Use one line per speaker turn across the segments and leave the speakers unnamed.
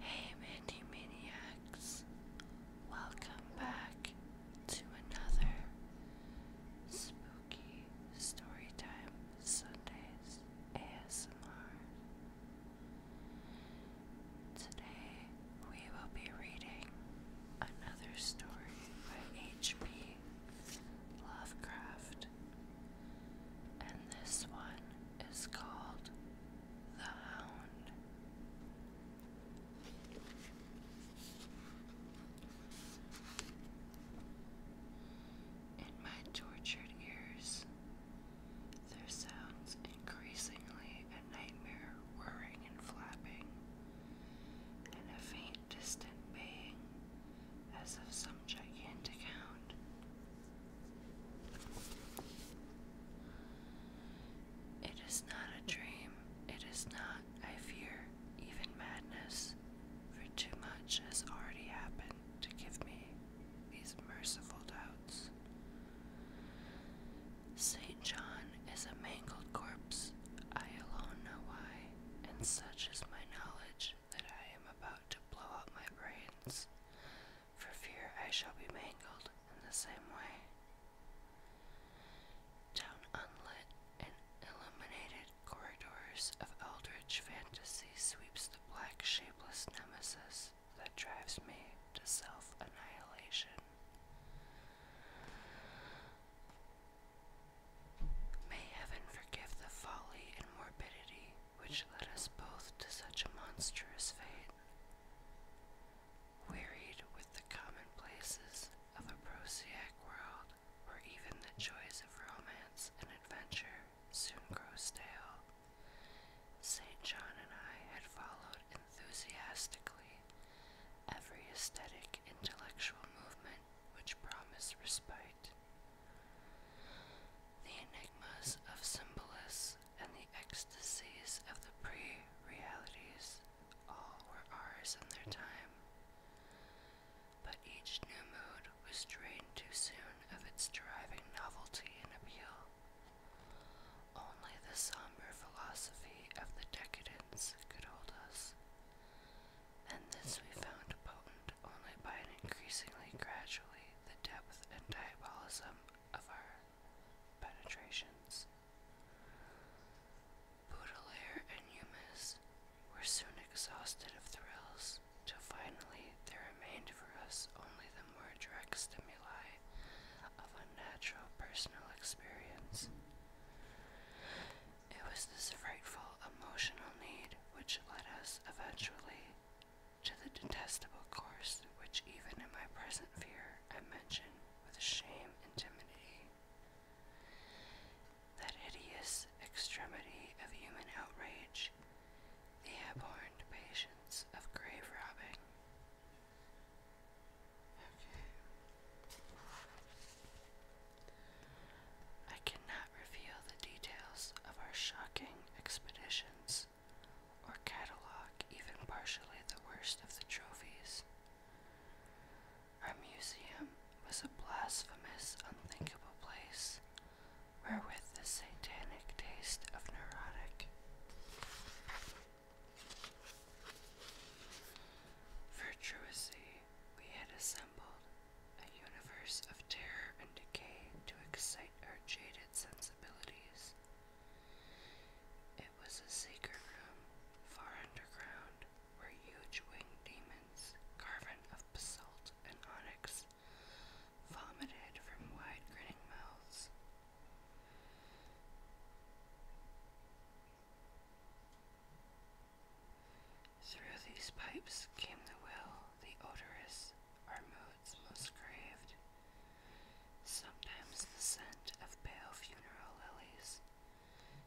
Hey Mandy Maniacs, welcome back to another Spooky Storytime Sundays ASMR. Today we will be reading another story by H.P. Lovecraft and this one is called The Hound. In my tortured ears, there sounds increasingly a nightmare whirring and flapping, and a faint distant baying as of some gigantic hound. It is not a dream, it is not, I fear, even madness, for too much has already happened to give me these merciful doubts. St. John is a mangled corpse, I alone know why, and such is my knowledge that I am about to blow out my brains, for fear I shall be mangled in the same way. Down unlit and illuminated corridors of eldritch fantasy sweeps the black, shapeless nemesis that drives me to self annihilation. May heaven forgive the folly and morbidity which led us both to such a monstrous fate. Wearied with the commonplaces of a prosaic world, where even the joys of romance and adventure soon grow stale, St. John and I had followed enthusiastically every aesthetic intellectual movement which promised respite the enigmas of symbolists and the ecstasies of the pre realities all were ours in their time. But each new mood was drained too soon of its driving novelty and appeal. Only the somber philosophy of the decadents could hold us, and this we found potent only by an increasingly gradually the depth and diabolism of our penetrations. Baudelaire and Humus were soon exhausted of thrills, till finally there remained for us only the more direct stimuli of natural personal experience. It was this frightful emotional need which led us eventually to the detestable course which even in my present fear I mention with shame and timidity. That hideous extremity of human outrage, the abhorred patience of grave robbing. I cannot reveal the details of our shocking expeditions or catalog even partially the worst of the trophies. Our museum was a blasphemous, unthinkable place where, with the satanic taste of neurotic. Virtuously, we had assembled a universe of terror and decay to excite our jaded sensibilities. It was a secret room, far underground, where huge winged demons, carven of basalt and onyx, vomited from wide grinning mouths. Through these pipes came the will, the odorous, our moods most craved. Sometimes the scent of pale funeral lilies,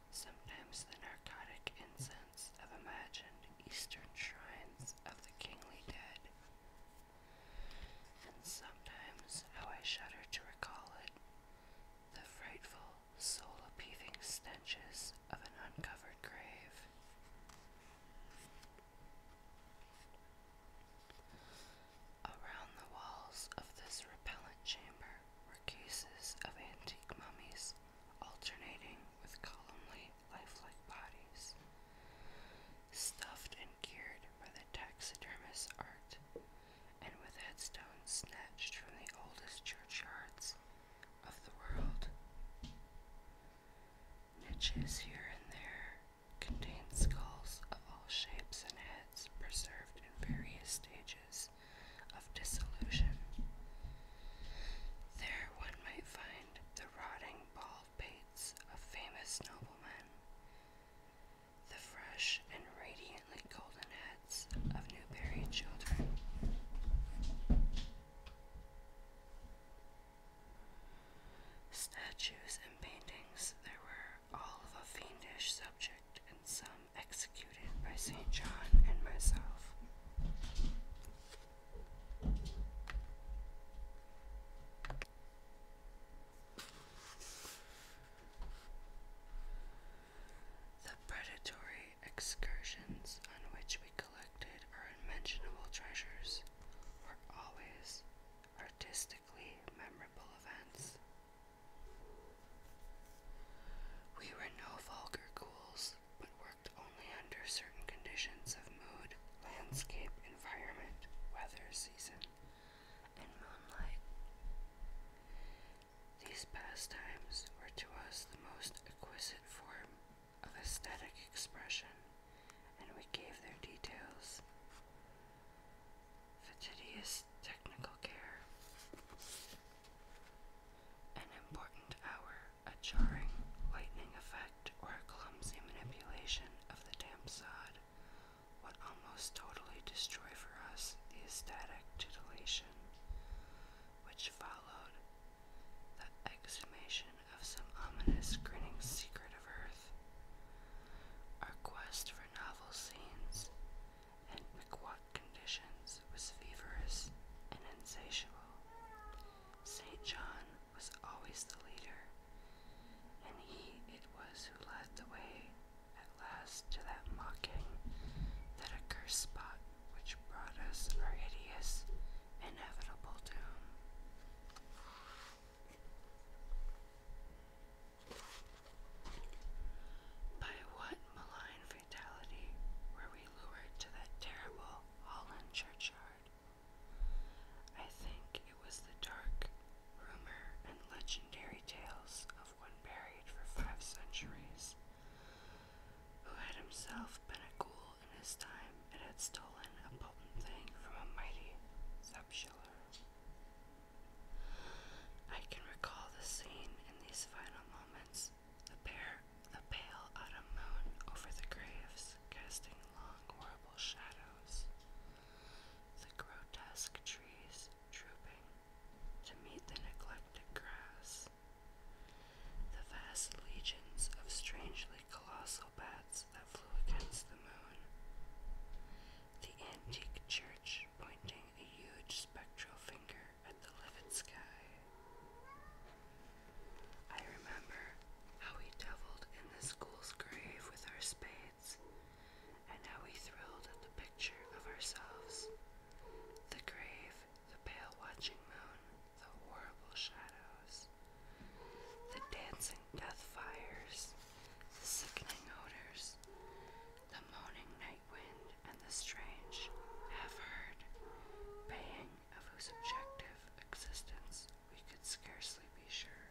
sometimes the narcotic incense of imagined eastern shrines of the kingly dead. And sometimes, how I shudder to recall it, the frightful, soul appeasing stenches of an uncovered grave. Around the walls of this repellent chamber were cases of antique mummies alternating with columnly, life-like bodies, stuffed and cured by the taxidermist's art, and with headstones snatched from the oldest churchyards of the world. Niches here and there contain skulls of all shapes and heads preserved in various stages of dissolution. There one might find the rotting bald pates of famous noblemen, the fresh and radiantly golden heads of new buried children. Statues and paintings, there were all of a fiendish subject, and some executed by St. John and myself. The predatory excursions on which we collected our unmentionable treasures were always artistically memorable events. We were no vulgar ghouls, but worked only under certain conditions of mood, landscape, environment, weather, season, and moonlight. These pastimes were to us the most exquisite form of aesthetic expression, and we gave their details fastidious technical care. An important hour, a jarring lightning effect, or a clumsy manipulation of the damp sod would almost totally destroy for us the ecstatic titillation which followed the exhumation of some ominous grinning secret of earth, our quest for novel scenes and piquot conditions was feverous and insatiable. St. John was always the leader, and he it was who led the way at last to that mocking, that accursed spot which brought us our hideous, inevitable doom. By what malign fatality were we lured to that terrible Holland churchyard? I think it was the dark rumor and legendary tales of one buried for five centuries, who had himself been a ghoul in his time and had stolen a potent thing from a mighty sepulchre. I can recall the scene in these final moments, the pale autumn moon over the graves, casting long horrible shadows. The grotesque trees drooping to meet the neglected grass. The vast legions of strangely colossal bats that flew against the moon. The antique church pointing a huge spectral finger at the livid sky. I remember how we devilled in the school's grave with our spades, and how we thrilled at the picture of ourselves, the grave the pale watching moon, the horrible shadows, the dancing death fires, the sickening odors, the moaning night wind, and the strange, half heard baying of whose objective existence we could scarcely be sure.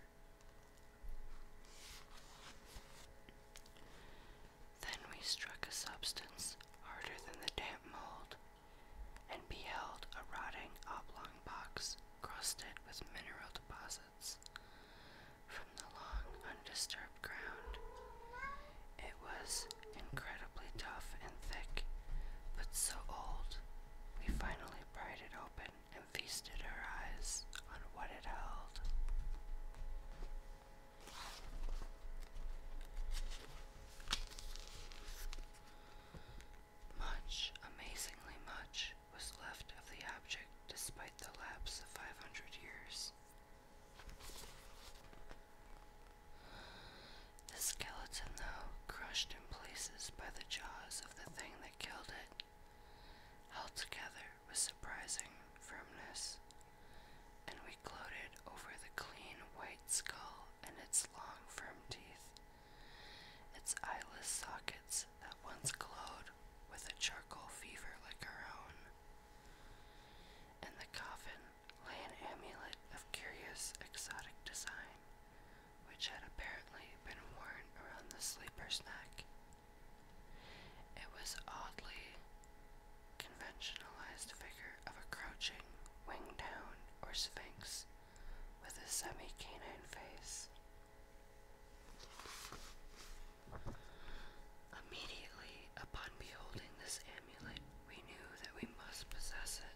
Then we struck a substance harder than the damp mold, and beheld a rotting oblong box crusted with mineral deposits from the long, undisturbed ground. It was incredibly tough and thick, but so old. We finally pried it open and feasted our eyes on what it held. Much, amazingly much, was left of the object despite the lapse of 500 years. The skeleton, though, crushed in places by the jaws of the thing that killed it, held together with surprising firmness and we gloated over the clean white skull and its long, firm teeth, its eyeless sockets that once glowed with a charcoal fever like our own. In the coffin lay an amulet of curious, exotic design, which had apparently been worn around the sleeper's neck. It was oddly conventionalized figure of a crouching, winged down or sphinx with a semi canine face. Immediately upon beholding this amulet, we knew that we must possess it,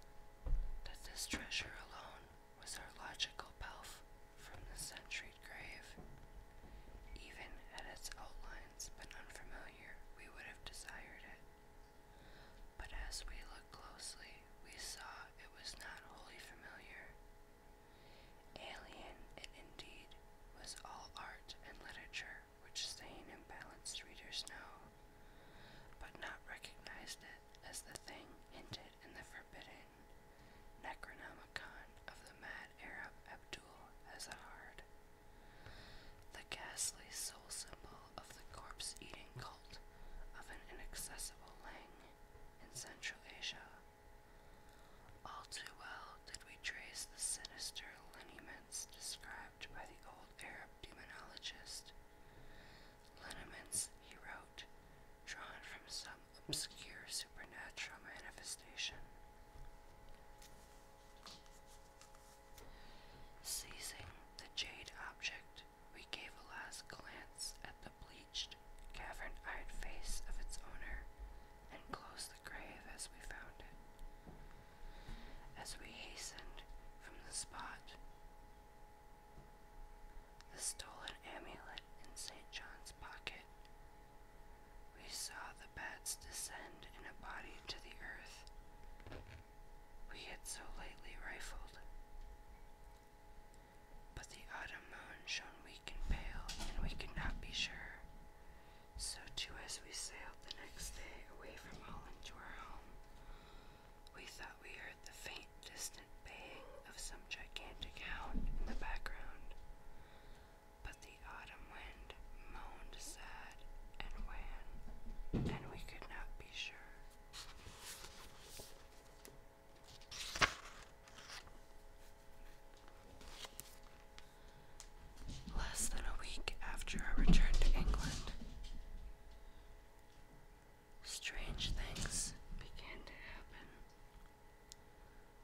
that this treasure alone was our logical pelf from the centuried grave. Even at its outlines but unfamiliar, we would have desired it. But as we looked closely, we saw it was not wholly familiar. Alien, it indeed was all art and literature which sane and balanced readers know, but not recognized it as the thing hinted in the forbidden Necronomicon of the mad that Arab Abdul Azhar, the ghastly soul symbol of the corpse eating cult of an inaccessible Lang in Central Asia. All too well did we trace the sinister lineaments described by the old Arab demonologist. Lineaments, he wrote, drawn from some obscure supernatural manifestation. Seizing the jade object, we gave a last glance at the bleached, cavern eyed face of its owner and closed the grave as we found it. As we hastened from the spot, the stolen amulet in St. John's pocket we saw the bats descend in a body to the earth we had so lately rifled. But the autumn moon shone weak and pale, and we could not be sure. So, too, as we sailed the next day away from Holland to our home, we thought we heard the faint, distant baying of some gigantic hound in the background. But the autumn wind moaned sad and wan, and we could not be sure. Less than a week after our return to England, strange things began to happen.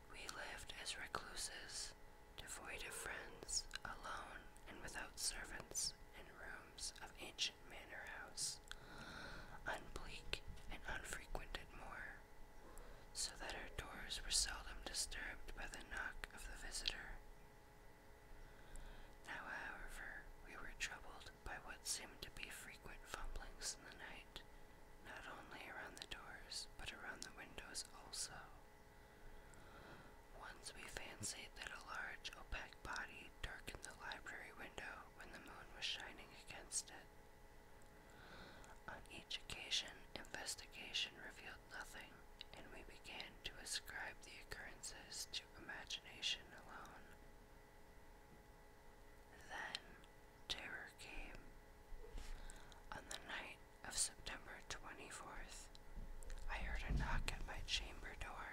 We lived as recluses, devoid of friends, alone and without servants, in rooms of ancient manor house, unbleak and unfrequented more, so that our doors were seldom disturbed by the knock of the visitor. Now, however, we were troubled by what seemed to be frequent fumblings in the night, not only around the doors, but around the windows also. Once we fancied that a large, opaque body darkened the library window when the moon was shining against it. On each occasion, investigation revealed nothing, and we began to ascribe the occurrences to imagination alone. Then terror came. On the night of September 24th, I heard a knock at my chamber door.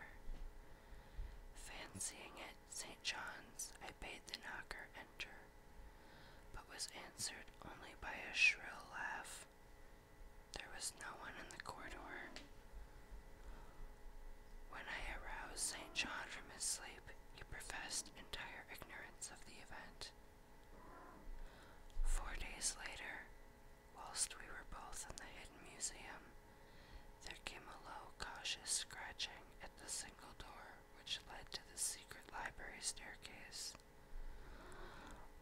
Fancying it St. John's, I bade the knocker enter, but was answered only by a shrill laugh. There was no one in the corridor. When I aroused St. John from his sleep, he professed entire ignorance of the event, Four days later, whilst we were both in the hidden museum, there came a low, cautious scratching at the single door which led to the secret library staircase.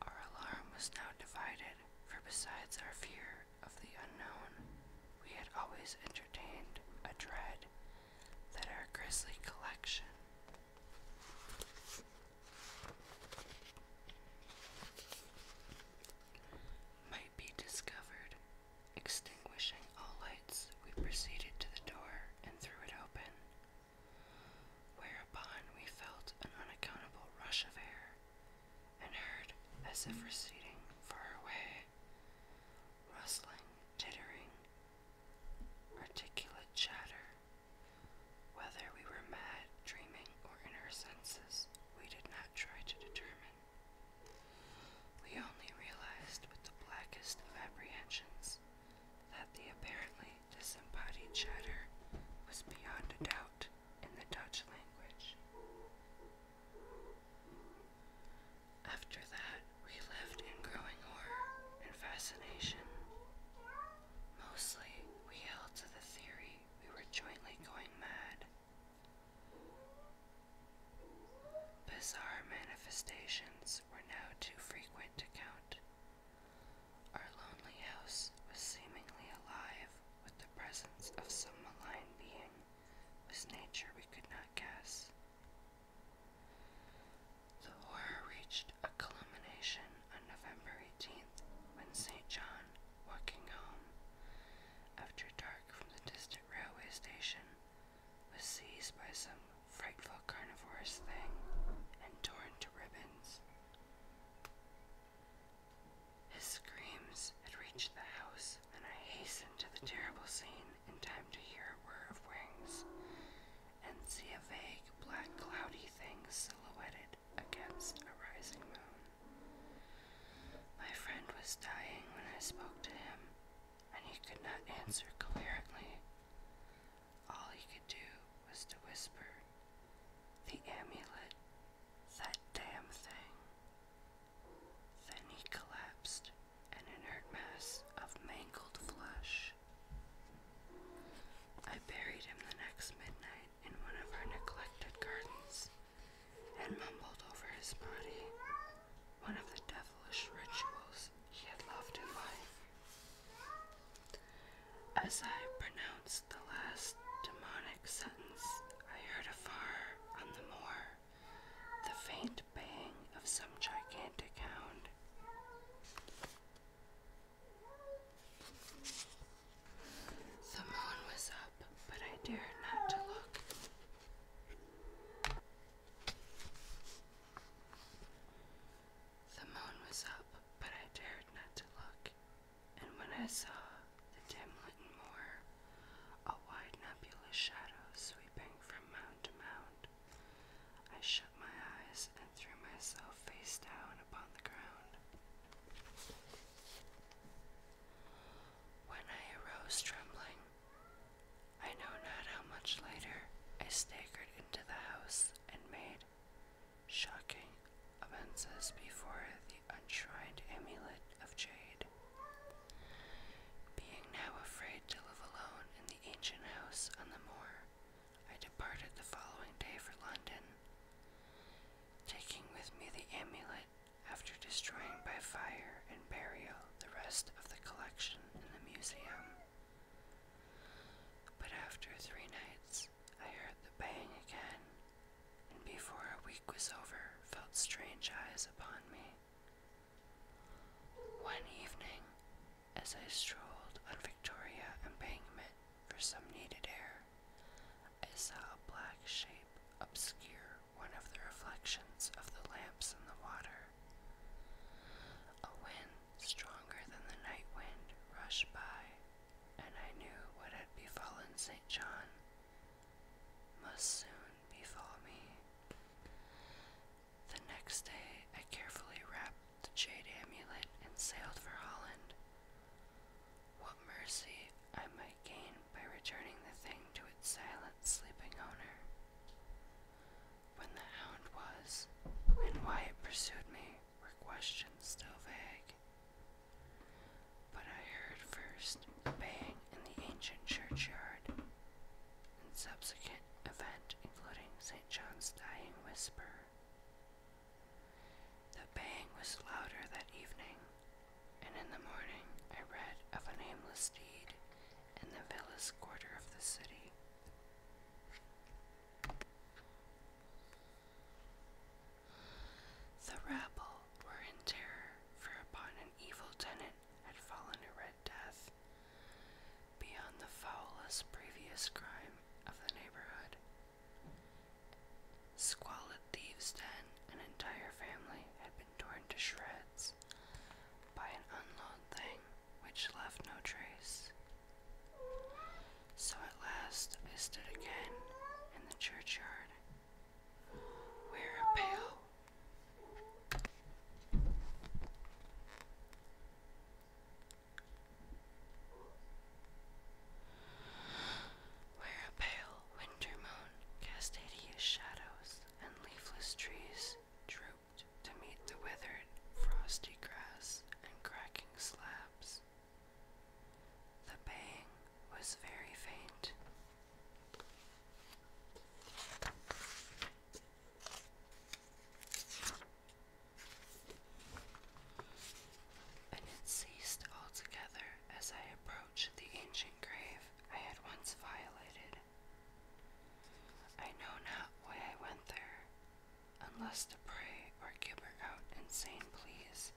Our alarm was now divided, for besides our fear of the unknown, we had always entertained a dread that are grisly Collection. Might be discovered. Extinguishing all lights, we proceeded to the door and threw it open, whereupon we felt an unaccountable rush of air and heard, as if receding far away, rustling, tittering, articulate chatter. Whether we were mad, dreaming, or in our senses, we did not try to determine. We only realized with the blackest of apprehensions that the apparently disembodied chatter was beyond a doubt in the Dutch language. After that, we lived in growing horror and fascination. Mostly, we held to the theory we were jointly going mad. Bizarre manifestations were now too frequent to count. Our lonely house was seemingly alive with the presence of some malign being whose nature we could not guess. The horror reached a culmination on November 18th when St. John, walking home after dark from the distant railway station, was seized by some frightful carnivorous thing and torn to ribbons. His screams had reached the house, and I hastened to the terrible scene in time to hear a whir of wings and see a vague, black, cloudy thing silhouetted against a rising moon. My friend was dying when I spoke to him, and he could not answer clearly. All he could do was to whisper, The amulet, that damn thing. Then he collapsed an inert mass of mangled flesh. I buried him the next midnight in one of our neglected gardens and mumbled over his body one of the devilish rituals he had loved in life. As I pronounced the last demonic sentence, I heard afar on the moor the faint bang of some gigantic hound. The moon was up, but I dared not to look. The moon was up, but I dared not to look. And when I saw the dim-lit moor, a wide nebulous shadow sweeping from I shut my eyes and threw myself face down upon the ground. When I arose trembling, I know not how much later I staggered into the house and made shocking offenses before the unshrined amulet of jade. Being now afraid to live alone in the ancient house on the moor, I departed the following day for London, taking with me the amulet after destroying by fire and burial the rest of the collection in the museum. But after three nights, I heard the bang again, and before a week was over, felt strange eyes upon me. One evening, as I strolled on Victoria Embankment for some needed air, I saw a black shape obscure one of the reflections of the lamps in the water. A wind stronger than the night wind rushed by, and I knew what had befallen St. John must soon befall me. The next day, I carefully wrapped the jade amulet and sailed for Holland. What mercy I might gain by returning the thing to its silent sleeping owner. When the hound was, and why it pursued me, were questions still vague. But I heard first the bang in the ancient churchyard, and subsequent event, including St. John's dying whisper. The bang was louder that evening, and in the morning I read of a nameless deed in the villas quarter of the city. The rabble were in terror, for upon an evil tenant had fallen a red death, beyond the foulest previous crime of the neighborhood. Squalid thieves, then, an entire family had been torn to shreds by an unknown thing which left no trace. So at last I stood again in the churchyard, where a pale, where a pale winter moon cast hideous shadows, and leafless trees drooped to meet the withered, frosty grass and cracking slabs. The bang was very faint. And it ceased altogether as I approached the ancient grave I had once violated. I know not why I went there, unless to pray or gibber out insane pleas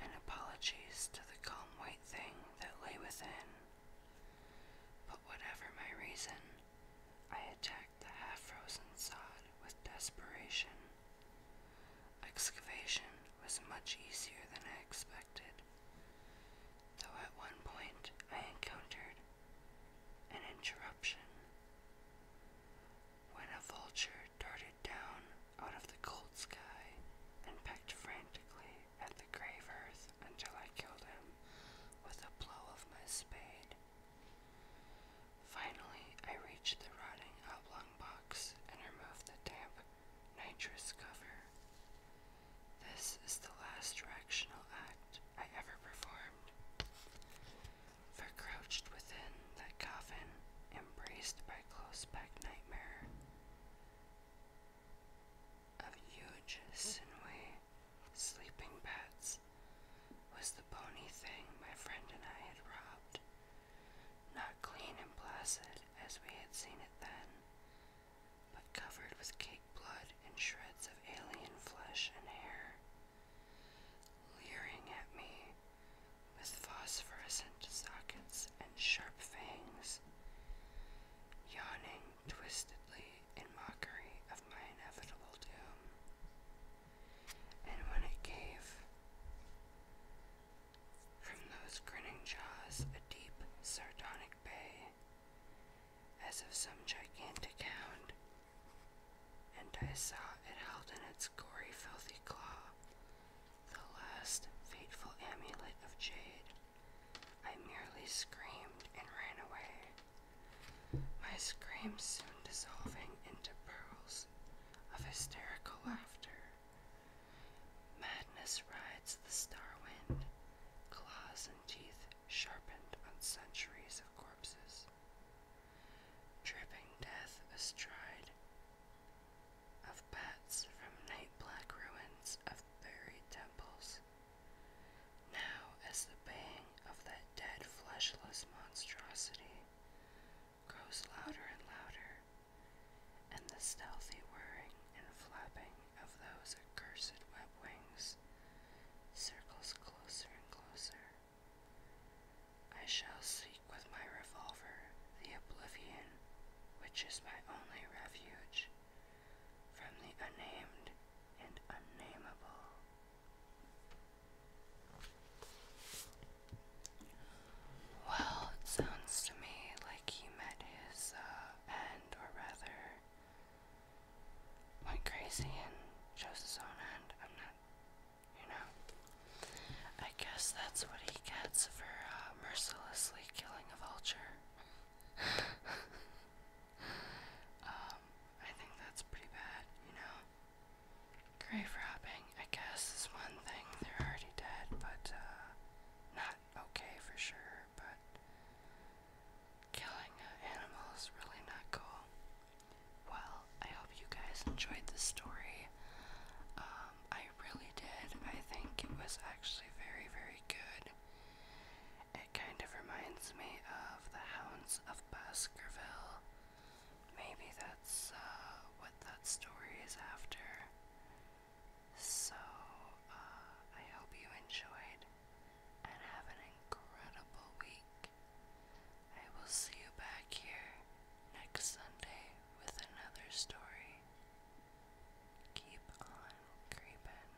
and apologies to the calm white thing that lay within. But whatever my reason, I attacked the half frozen sod with desperation. Excavation was much easier than I expected, though at one point I encountered an interruption. When a vulture darted down out of the cold sky and pecked frantically at the grave earth until I killed him with a blow of my spade. Finally, I reached the rotting oblong box and removed the damp nitrous cover. This is the last directional act I ever performed. For crouched within that coffin, embraced by close packed nightmare, of huge, sinewy sleeping bats was the bony thing my friend and I had robbed. Not clean and placid as we had seen it then, but covered with cake blood and shreds of alien flesh and hair, leering at me with phosphorescent sockets and sharp fangs, yawning twistedly in mockery of my inevitable doom. And when it gave from those grinning jaws a deep, sardonic bay, as of some gigantic hound, and I saw it held in its gory, filthy claw the last fateful amulet of jade I merely screamed and ran away, my scream soon dissolving into pearls of hysterical laughter. Madness rides the star wind, claws and teeth sharpened on centuries of corpses. Dripping death astride of from night black ruins of buried temples. Now, as the bang of that dead, fleshless monstrosity grows louder and louder, and the stealthy whirring and flapping of those accursed web wings circles closer and closer, I shall seek with my revolver the oblivion which is my only refuge from the unnamed and unnameable. Well, it sounds to me like he met his uh, end, or rather, went crazy and chose his own end. I'm not, you know. I guess that's what he gets for uh, mercilessly killing a vulture um, I think that's pretty bad, you know. Grave robbing, I guess, is one thing. They're already dead, but uh, not okay for sure. But killing animals is really not cool. Well, I hope you guys enjoyed the story. Um, I really did. I think it was actually very, very good. It kind of reminds me of the Hounds of Baskerville. Maybe that's uh, what that story is after. So, uh, I hope you enjoyed and have an incredible week. I will see you back here next Sunday with another story. Keep on creeping.